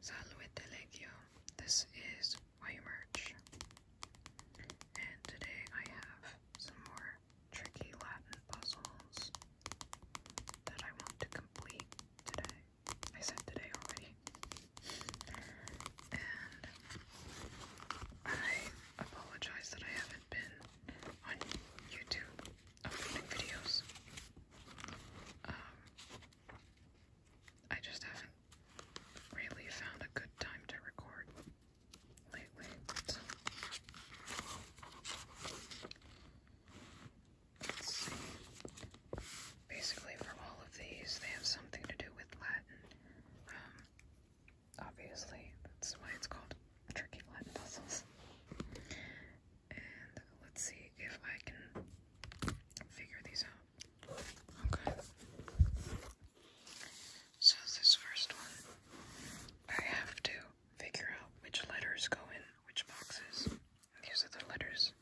Salve Legio, this is YMerch, and today I have some more tricky Latin puzzles that I want to complete today. I said today already. And I apologize that I haven't been on YouTube of videos. Um, I just haven't really found a good time to record lately. Let's see. Basically, for all of these, they have something to do with Latin. Um, obviously, that's why it's called tricky Latin puzzles. And let's see if I can figure these out. Okay. So this first one, I have to figure out which letters go in which boxes. These are the letters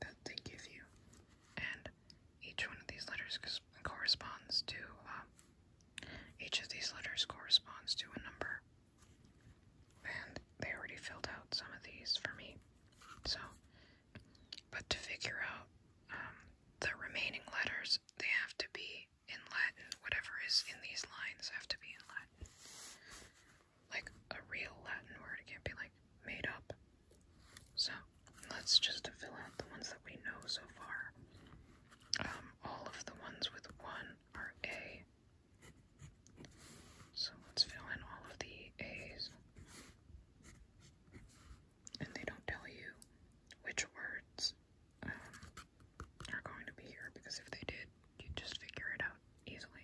that they give you. And each one of these letters corresponds to, um, each of these letters corresponds to a number. And they already filled out some of these for me. So, but to figure out um, the remaining letters, they have to be in Latin. Whatever is in these lines have to be in Latin. Like a real Latin word. It can't be like made up. So, let's just fill out the ones that we know so far. Um, all of the ones with one are A, so let's fill in all of the A's. And they don't tell you which words um, are going to be here because if they did, you'd just figure it out easily.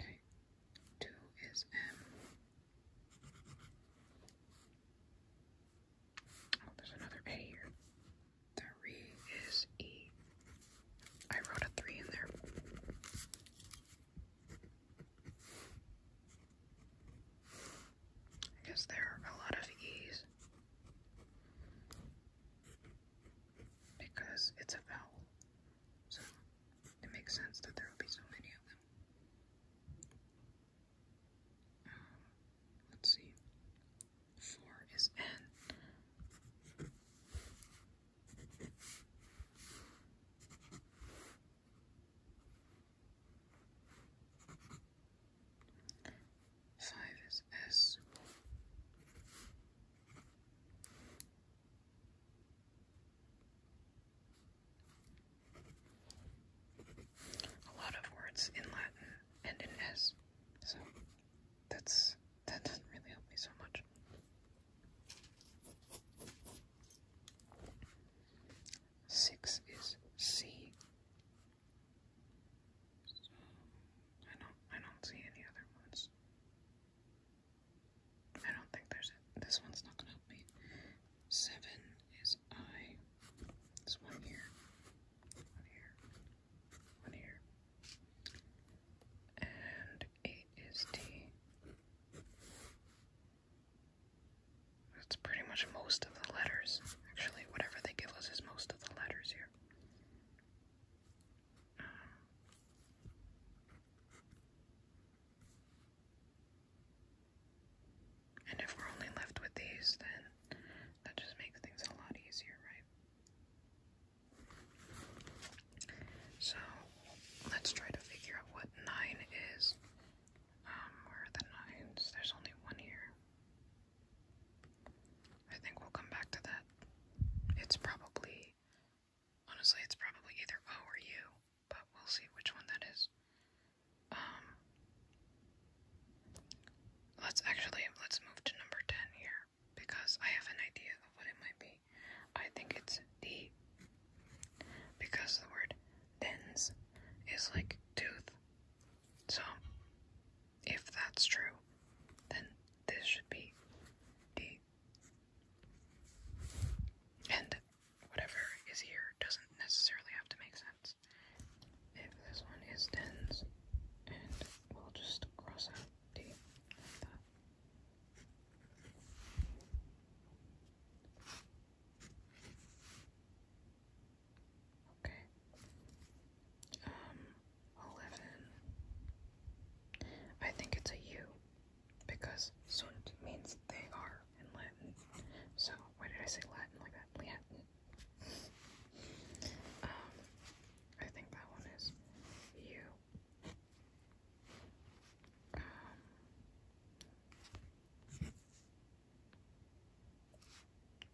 Okay, two is M. Oh, there's another A here. Three is E. I wrote a three in there. I guess there are a lot of E's because it's a vowel, so it makes sense that there will be so many of them. Um, let's see. Four is N. Five is S. A lot of words in Latin and in S. So that's that doesn't really help me so much. Six is C. don't I don't see any other ones. I don't think there's this one's not gonna help me. Seven is I. This One here one here. And eight is D. That's pretty much most of the letters. Actually, whatever they give us is most of the letters here. Um, and if we're only left with these, then that just makes things a lot easier, right? So let's try to figure out what nine is. Um, where are the nines? There's only one here. I think we'll come back to that. It's probably, honestly, it's probably either O or U, but we'll see which one that is. Um, let's actually, let's move to number 10 here because I have an idea of what it might be. I think it's the because the word dens is like tooth. So if that's true, then this should be D. And whatever is here doesn't necessarily have to make sense. If this one is tens, and we'll just cross out D that. Okay. Um, eleven. I think it's a U because sunt means they are in Latin. So why did I say Latin like that? Latin. um, I think that one is U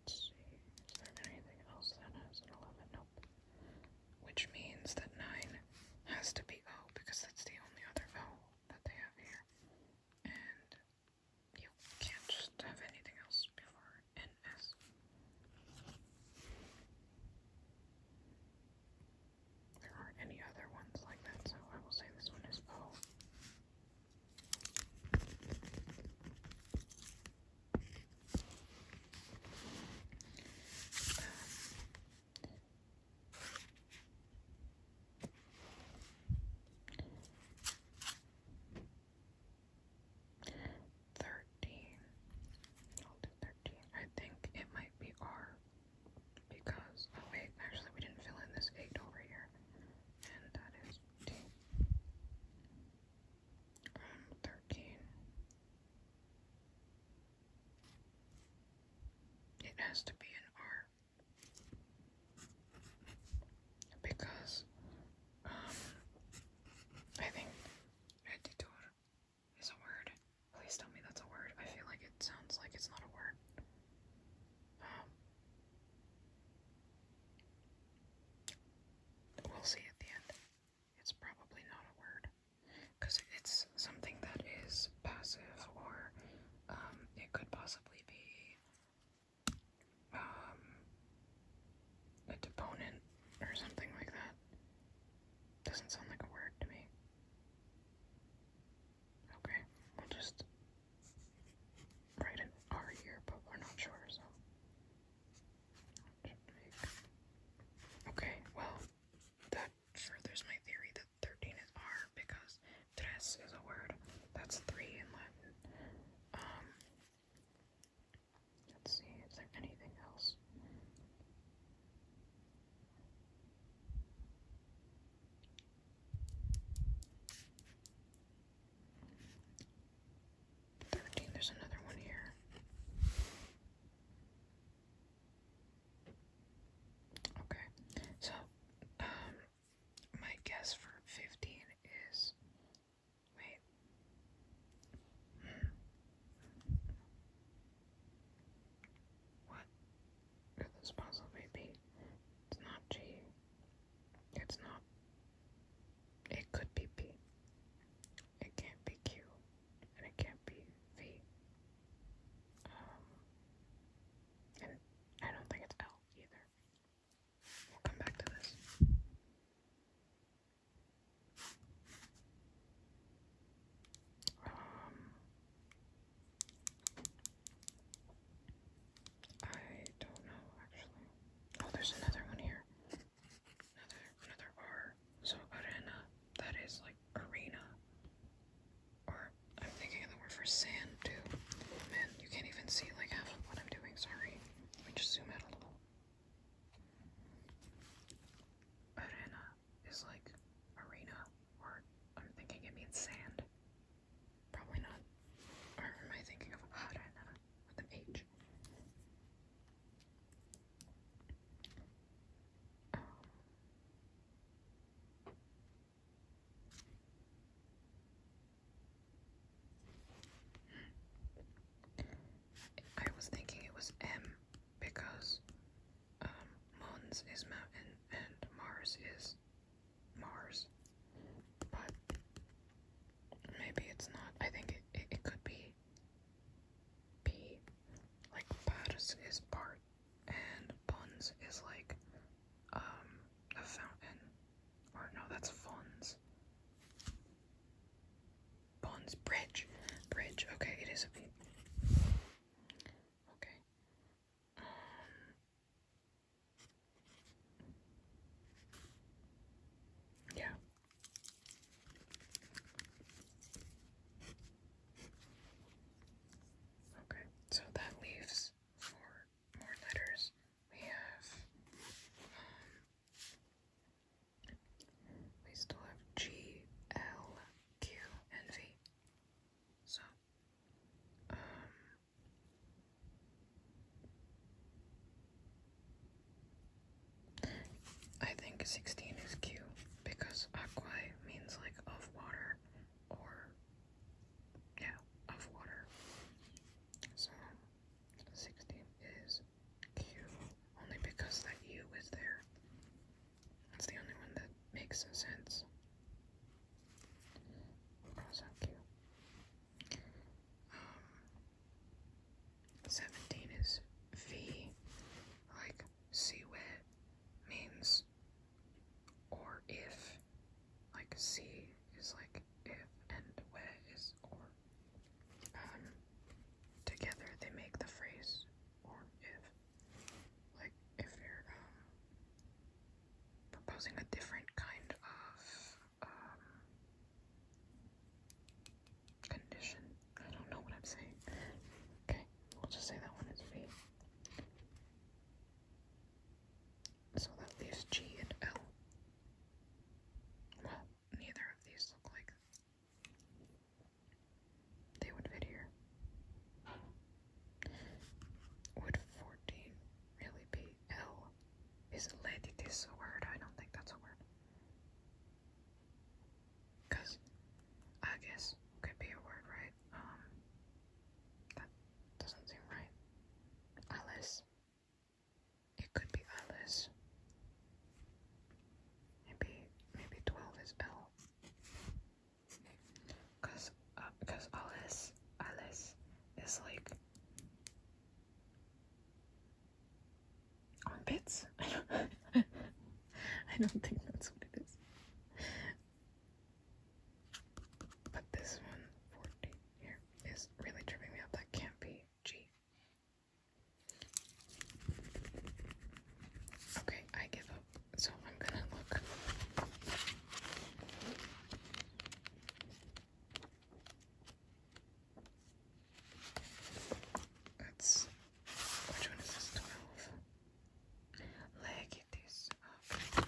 is there anything else that has an 11? Nope. Which means that 9 has to be O because that's the only other vowel that they have here. And you can't just have anything else before NS. There aren't any other ones like that, so I will say this one is O thirteen. I'll do thirteen. I think it might be R because oh wait, actually we didn't fill in this eight over here. And that is um, thirteen. It has to be an R because um I think editor is a word. Please tell me that's a word. I feel like it sounds like it's not a word. Um, we'll see at the end. It's probably not a word. Because it's something that is passive, or um, it could possibly be um, a deponent or something like that. Doesn't sound like a word to me. Okay, we'll just write an R here, but we're not sure, so. Okay, well, that furthers my theory that 13 is R because tres is a word. That's three in Latin. Um, Let's see, is there anything else? Thirteen, there's another one here. Okay, so um my guess for fifteen is wait. Hmm. What could this possibly be? It's not G. It's not. It could be P. It can't be Q. And it can't be V. Um, and I don't think it's L either. We'll come back to this. Um, I don't know actually. Oh, there's another one here. Another another R. So arena. That is like arena. Or I'm thinking the word for sand too. Man, you can't even see like half of what I'm doing. Sorry. Let me just zoom out a little. Arena is like arena, or I'm thinking it means sand. Probably not. Or am I thinking of arena um. was thinking it was M because um, Moons is mountain and Mars is Mars. But maybe it's not. I think it, it, could be P. Like Paris is part and Buns is like um a fountain. Or no, that's funds. Bonds Bridge. Bridge. Okay, it is a bit. Okay. Um, yeah. Okay, so that leaves four more letters. We have um, we still have G, L, Q, and V. So, um, I think 16 is Q because aqua means like of water or, yeah, of water. So, 16 is Q only because that U is there. That's the only one that makes sense. Oh, that was um, 17 is V, like see wet means or if. Like see is like if and wet or. Um, together they make the phrase or if, like, if they're um, proposing a different kind of um, condition. I don't know what I'm saying. Okay, we'll just say that one is B. So that leaves G and L. Well, neither of these look like they would fit here. Would 14 really be L? Is ladies a word? I don't think that's a word. Because I guess could be a word, right? Um, that doesn't seem right. Alice. It could be Alice. Maybe, maybe 12 is L. Cause, uh, cause Alice, Alice is like armpits. I don't, I don't think that's what it is. But this one, 40 here, is really tripping me up. That can't be G. Okay, I give up. So I'm gonna look. That's which one is this? Twelve. Leg this up.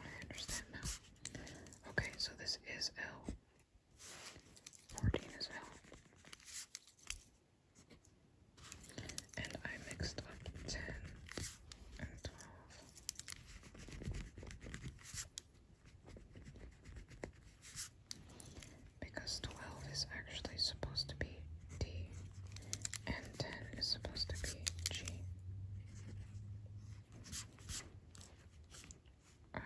I understand now. Okay, so this is L. Fourteen is L and I mixed up 10 and 12. Because 12 is actually supposed to be D, and 10 is supposed to be G. Um,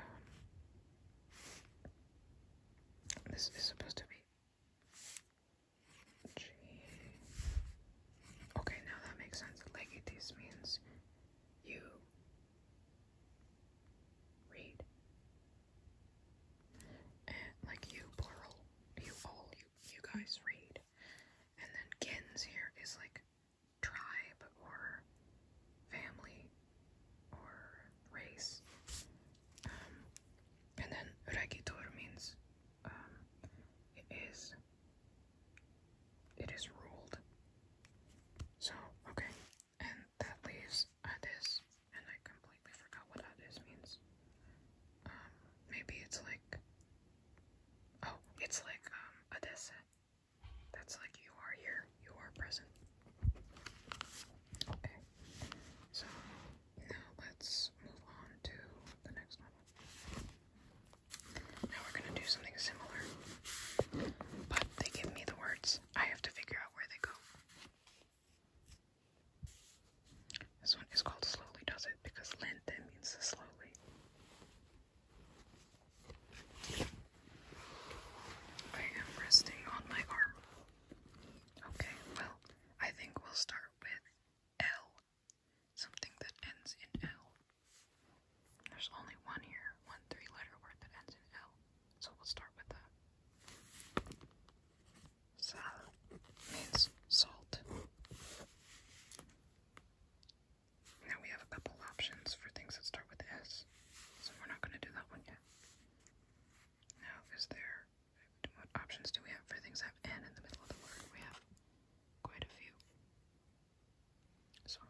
this is supposed to be Okay, now that makes sense. Legitis means you read. And like you, plural. You all, you, you guys read. And then gens here is like tribe or family or race and then regitor means um, it is it is ruled. So okay, and that leaves adis, and I completely forgot what adis means. Um, maybe it's like oh, it's like um adese. That's like you are here, you are present. Okay, so now let's move on to the next one. Now we're gonna do something similar, but they give me the words. I have to figure out where they go. This one is called Slowly Does It because lente means slowly. I am resting on my arm. Okay, well, I think we'll start with L. Something that ends in L. There's only one here, one three letter word that ends in L. So we'll start with that. Sal means salt. Now we have a couple options for things that start with S, so we're not going to do that one yet. Now, is there what options do we have for things that have N in the middle of the word? We have quite a few. So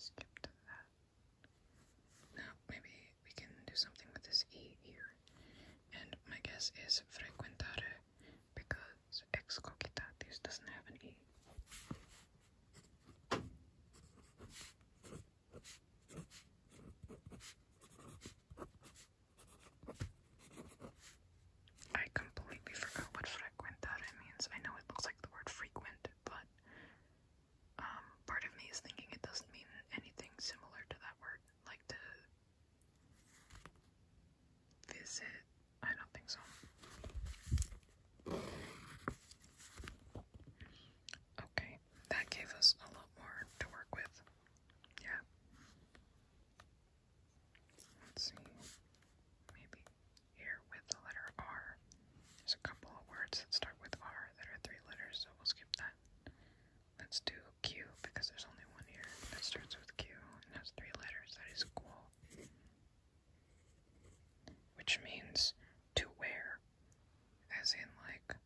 skip that. Now, maybe we can do something with this E here. And my guess is frequentare because ex doesn't have an E. I completely forgot what frequent that means. I know it looks like the word frequent, but um, part of me is thinking it doesn't mean anything similar to that word, like to visit. I don't think so. Okay, that gave us a lot more to work with. Yeah. Let's see. Maybe here with the letter R. There's a couple of words that start with R that are three letters, so we'll skip that. Let's do Q because there's only one here that starts with Q and has three letters. That is cool. Which means to wear, as in like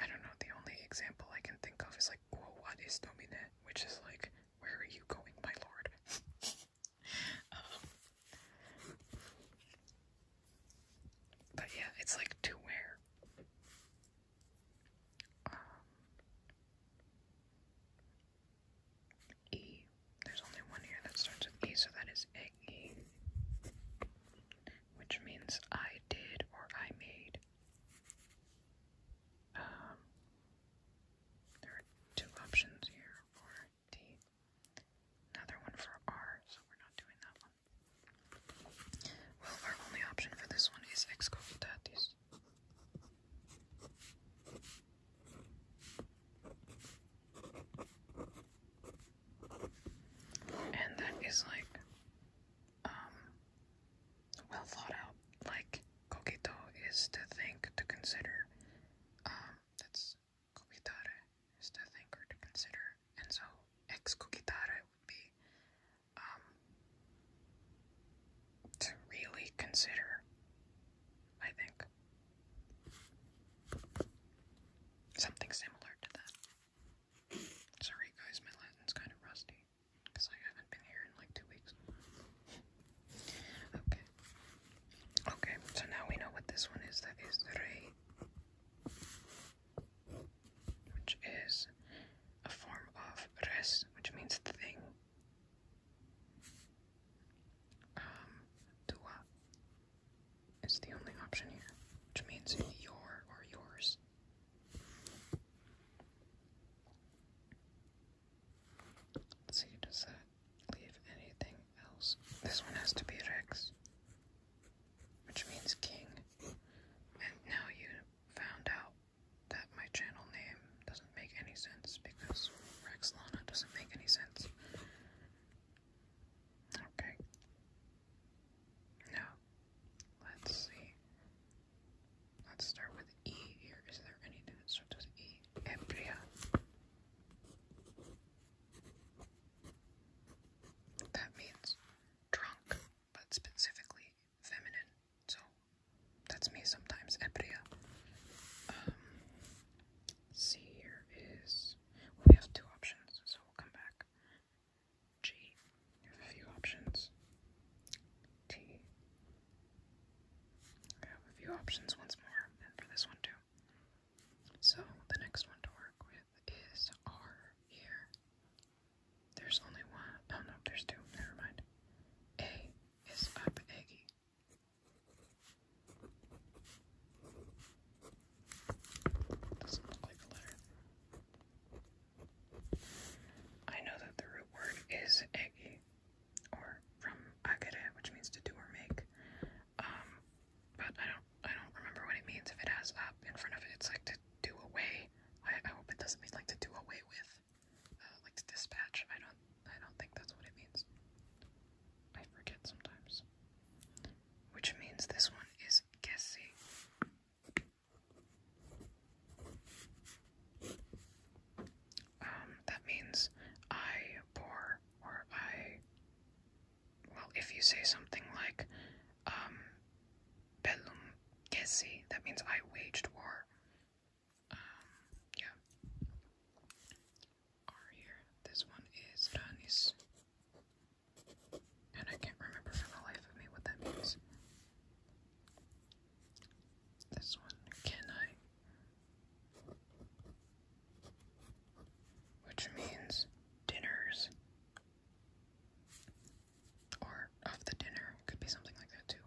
I don't know, the only example I can think of is like quo vadis domine, which is like, where are you going, my lord? Um, but yeah, it's like to where. Um, e. There's only one here that starts with E, so that is egg which means I did or I made. Um, there are two options here for D. Another one for R, so we're not doing that one. Well, our only option for this one is excovitatis. And that is like um, well thought out. Like coquito is to think, to consider. Um, that's coquitare is to think or to consider, and so ex coquitare would be um, to really consider. I think something similar to that. Sorry guys, my Latin's kind of rusty because I haven't been here in like two weeks. Okay. Okay, so now we know what this one is. That is re, which is a form of res, which means thing. Um, tua is the only option here, which means your or yours let does that leave anything else? This one has to be Rex, which means king. And now you found out that my channel name doesn't make any sense because Rex Lana doesn't make any sense. Okay. Now Let's see. Let's start with E here. Is there anything that starts with E? Ebria. That means drunk, but specifically feminine. So that's me sometimes, ebria. Um, See here is. We have two options, so we'll come back. G. You have a few options. T. I have a few options once more, and for this one too. So, the next one to work with is R here. There's only one. Oh no, there's two. Never mind. A is up eggy. Doesn't look like a letter. I know that the root word is egi, or from agere, which means to do or make. Um, but I don't, I don't remember what it means. If it has up in front of it, it's like to do away. I, hope it doesn't mean like to do away with, uh, like to dispatch. I don't, I don't think that's what it means. I forget sometimes. Which means this one is gassy. Um, that means I pour, or I. Well, if you say something like, um, bellum that means I waged war. Um, yeah. R here. This one is Danis. And I can't remember for the life of me what that means. This one, can I? Which means dinners. Or of the dinner. Could be something like that too.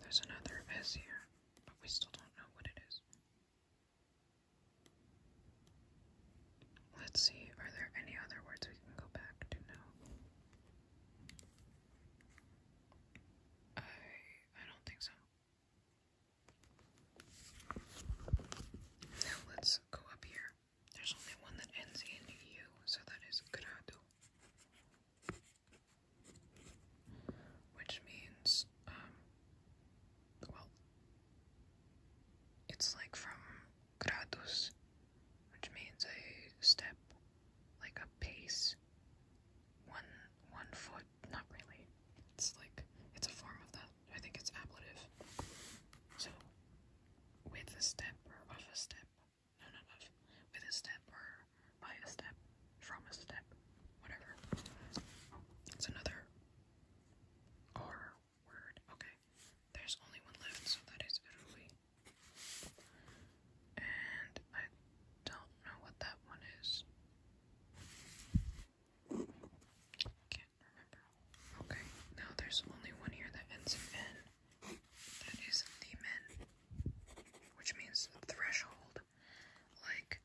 There's another S here, but we still don't know what it is. Let's see, are there any other words we can go back to now? I I don't think so. let's go up here. There's only one that ends in U, so that is grado. Which means um, well, it's like from gradus, which means a step, like a pace, one one foot. Not really. It's like it's a form of that. I think it's ablative. So, with a step or of a step, no, no, no, with a step or by a step, from a step, whatever. It's another R word. Okay. There's only one left, so that is Italy. And I don't know what that one is. Can't remember. Okay, now there's only one here that ends in N. That is the men. Which means threshold. Like,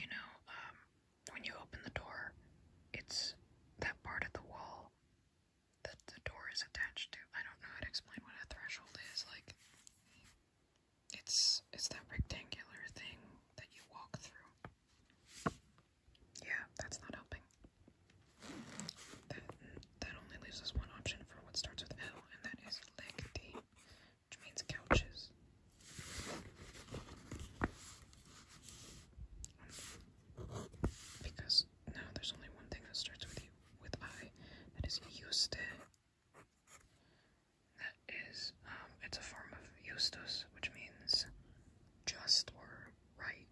you know, um, when you open the door, it's that part of the wall that the door is attached to. I don't know how to explain what a threshold is. Like, it's it's that rectangular thing that you walk through. Yeah, that's not helping. That that only leaves us one option for what starts with L, and that is leg D, which means couches. Because now there's only one thing that starts with you, with I, that is Euste. That is, um, it's a form of Justus, which means just or right.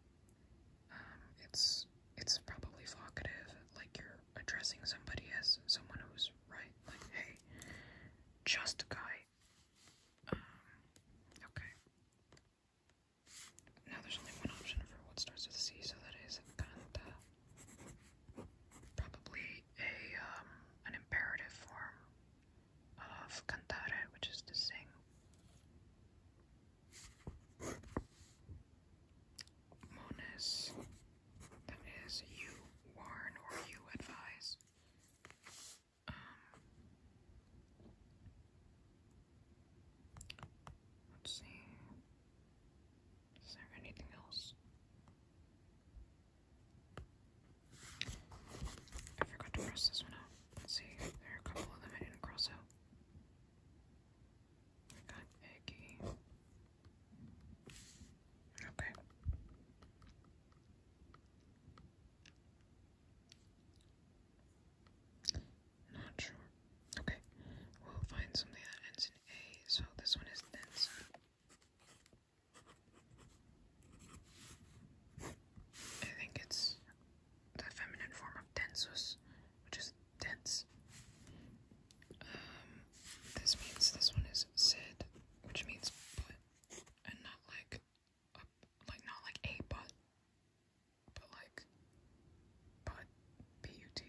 Um, it's it's probably vocative, like you're addressing somebody as someone who's right, like hey, just guy. Um, okay. Now there's only one option for what starts with C, so that is canta. Probably a um, an imperative form of cantare, which is to sing. Mones, that is you warn or you advise let's see. Is there anything else? I forgot to cross this one out. see, there are a couple of them I didn't cross out. We got Eggy. Okay. Not sure. Okay, we'll find something that ends in A, so this one is dense. I think it's the feminine form of densus, which is dense. Um, this means this one is said, which means but, and not like a, like not like a butt, but like butt, B-U-T.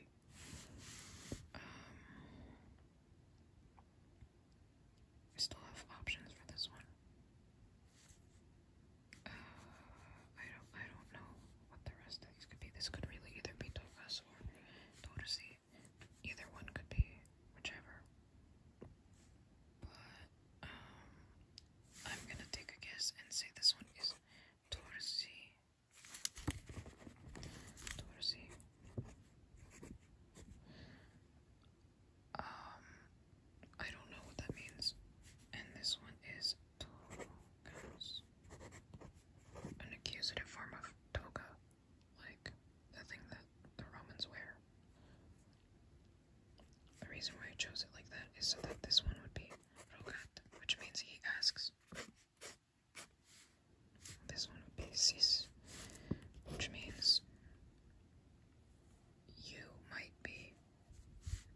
Um, I still have options for this one. Uh, I don't, I don't know what the rest of these could be. This could really either be Togas or Todasi. Either one could be, whichever. Um, I'm gonna take a guess and say this one is Torsi. Torsi. Um, I don't know what that means. And this one is Togas. An accusative form of toga, like the thing that the Romans wear. The reason why I chose it like that is so that this one would be rogat, which means he asks. This one would be sis, which means you might be.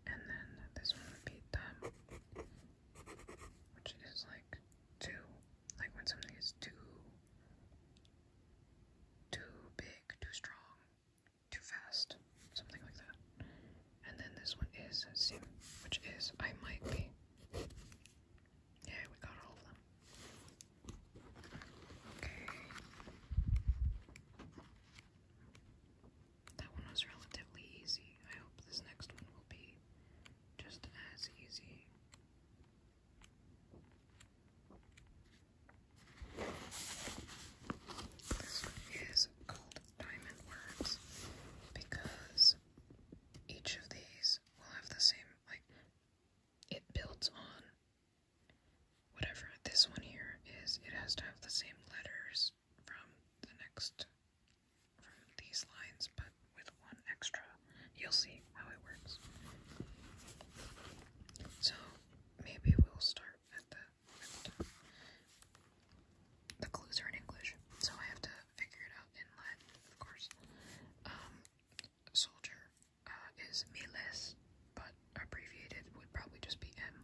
And then this one would be tam, which is like too, like when something is too, too big, too strong, too fast, something like that. And then this one is Sim, which is I might be. Yeah, we got all of them. Okay. That one was relatively easy. I hope this next one will be just as easy. This one is called Diamond Worms because each of these will have the same, like, it builds on whatever. This one here is, it has to have the same letters from the next, from these lines, but with one extra. You'll see how it works. So, maybe we'll start at the, at the clues are in English, so I have to figure it out in Latin, of course. Um, soldier uh, is miles, but abbreviated would probably just be M.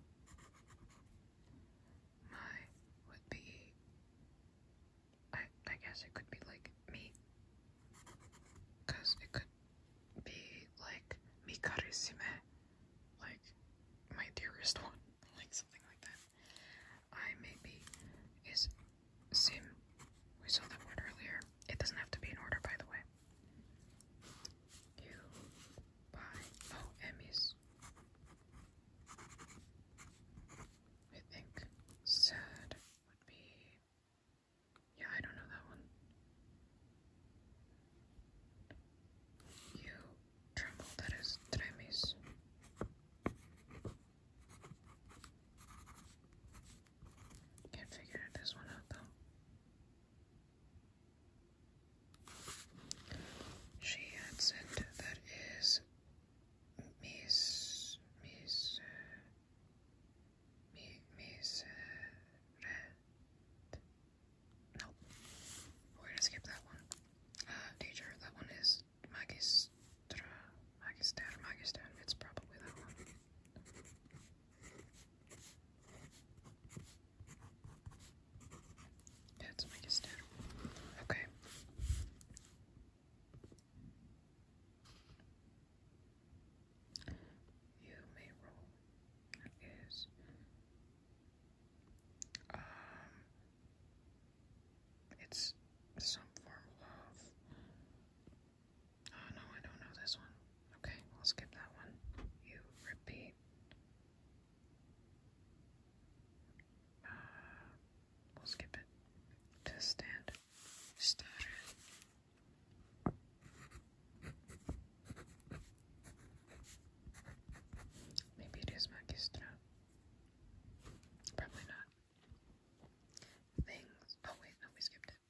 My would be. I I guess it could be like me, cause it could be like Mikarisume, like my dearest one, like something like that. I maybe is sim. We saw that word earlier. It doesn't have to be in order, by the way. You buy oh Emmys. I think sad would be yeah, I don't know that one. You tremble, that is, did Can't figure this one out though. She had said that is Miss Miss uh, Mi Miseret. No. We're gonna skip that one. Uh, teacher, that one is Magistra. Magister, Magister. It's probably that one. it's Magister. Okay. You may roll. Is um, it's some form of. Oh no, I don't know this one. Okay, we'll skip that one. You repeat. Uh, we'll skip it. To stand. Stutter. Maybe it is Magistra. Probably not. Things. Oh, wait, no, we skipped it.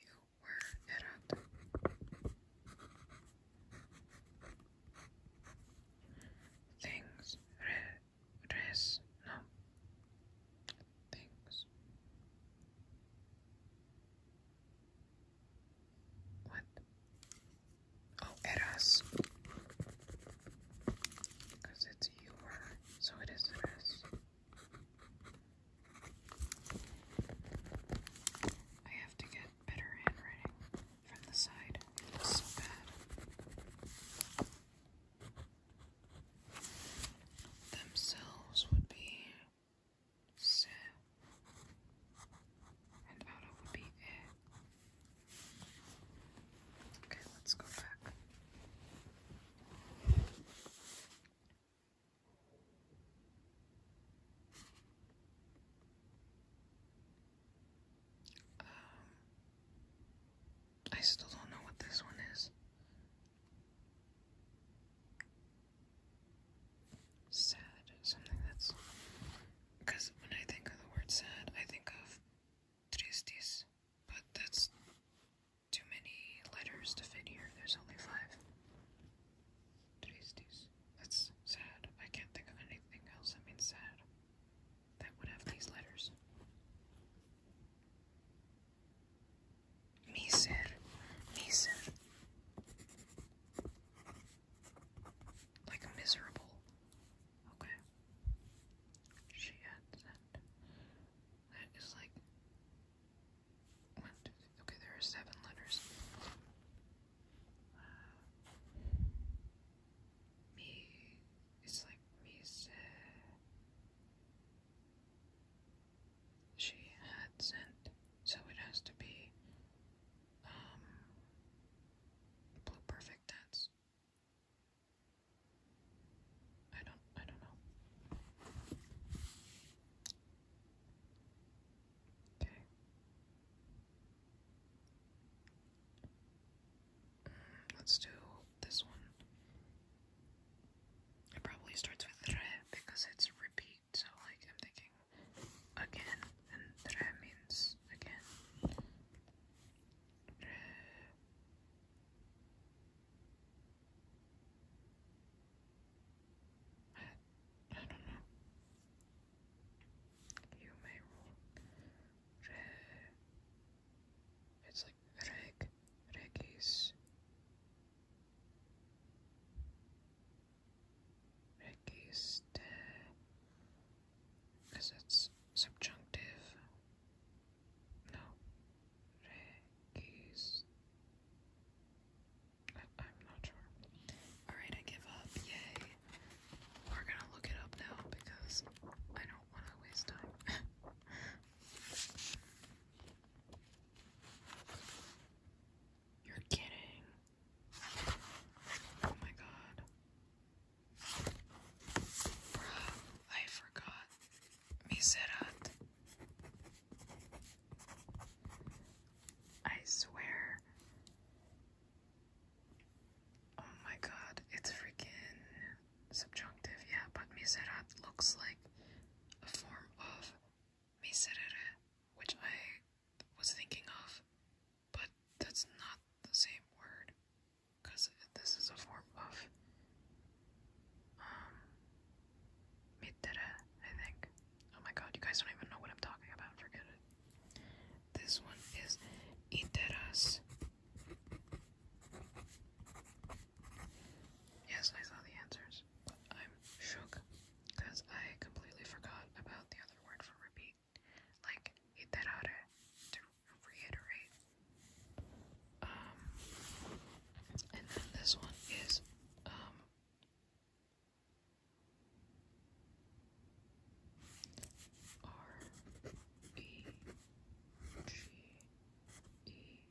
You were Erat. Things. res. No. Things. What? Oh, eras. Because it's you so it is I have to get better handwriting from the side. so bad. Themselves would be so and Anna would be heir. Okay, let's go back. Um, I still don't know what this one is sad, something that's. Because when I think of the word sad, I think of tristis, but that's too many letters to fit here. There's only five. Tristis. That's sad. I can't think of anything else that means sad that would have these letters. Miser, miser. Like miserable. Okay. She had that. That is like Okay, there are seven letters. Uh, me. It's like miser she had sent, so it has to be um, blue perfect that's I don't I don't know. Okay. Mm, let's do this one. It probably starts with re because it's repeat. So like I'm thinking again, and tre means again. I, don't know. You may rule. it's like reg, regis. Registe, because it's subjunctive. No, regis. I'm not sure. Alright, I give up. Yay. We're gonna look it up now because I don't want to waste time. You're kidding. Oh my god. Bruh, I forgot. Miserat. I swear. Oh my god, it's freaking subjunctive, yeah, but miserat looks like a form of miserere, which I was thinking of, but that's not the same word because this is a form of um mittere, I think. Oh my god, you guys don't even know what I'm talking about, forget it. This one is iteras. Yes, I saw the answers. I'm shook because I completely forgot about the other word for repeat, like iterare, to reiterate. Um, and then this one is um R B G E.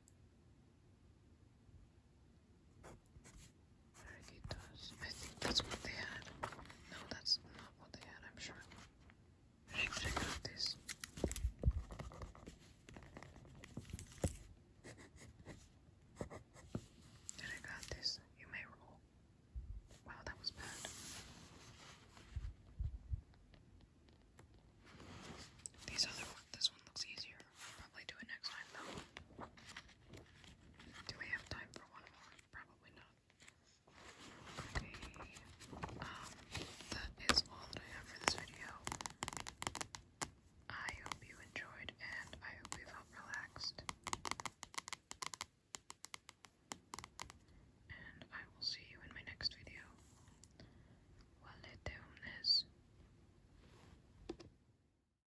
Burritos. I think that's what they had. No, that's not what they had, I'm sure. Check out You may roll. Wow, that was bad. These other one, this one looks easier i probably do it next time though. Do we have time for one more? Probably not. Okay. Um, that is all that I have for this video. I hope you enjoyed and I hope you felt relaxed. And I will see you in my next video. Well, let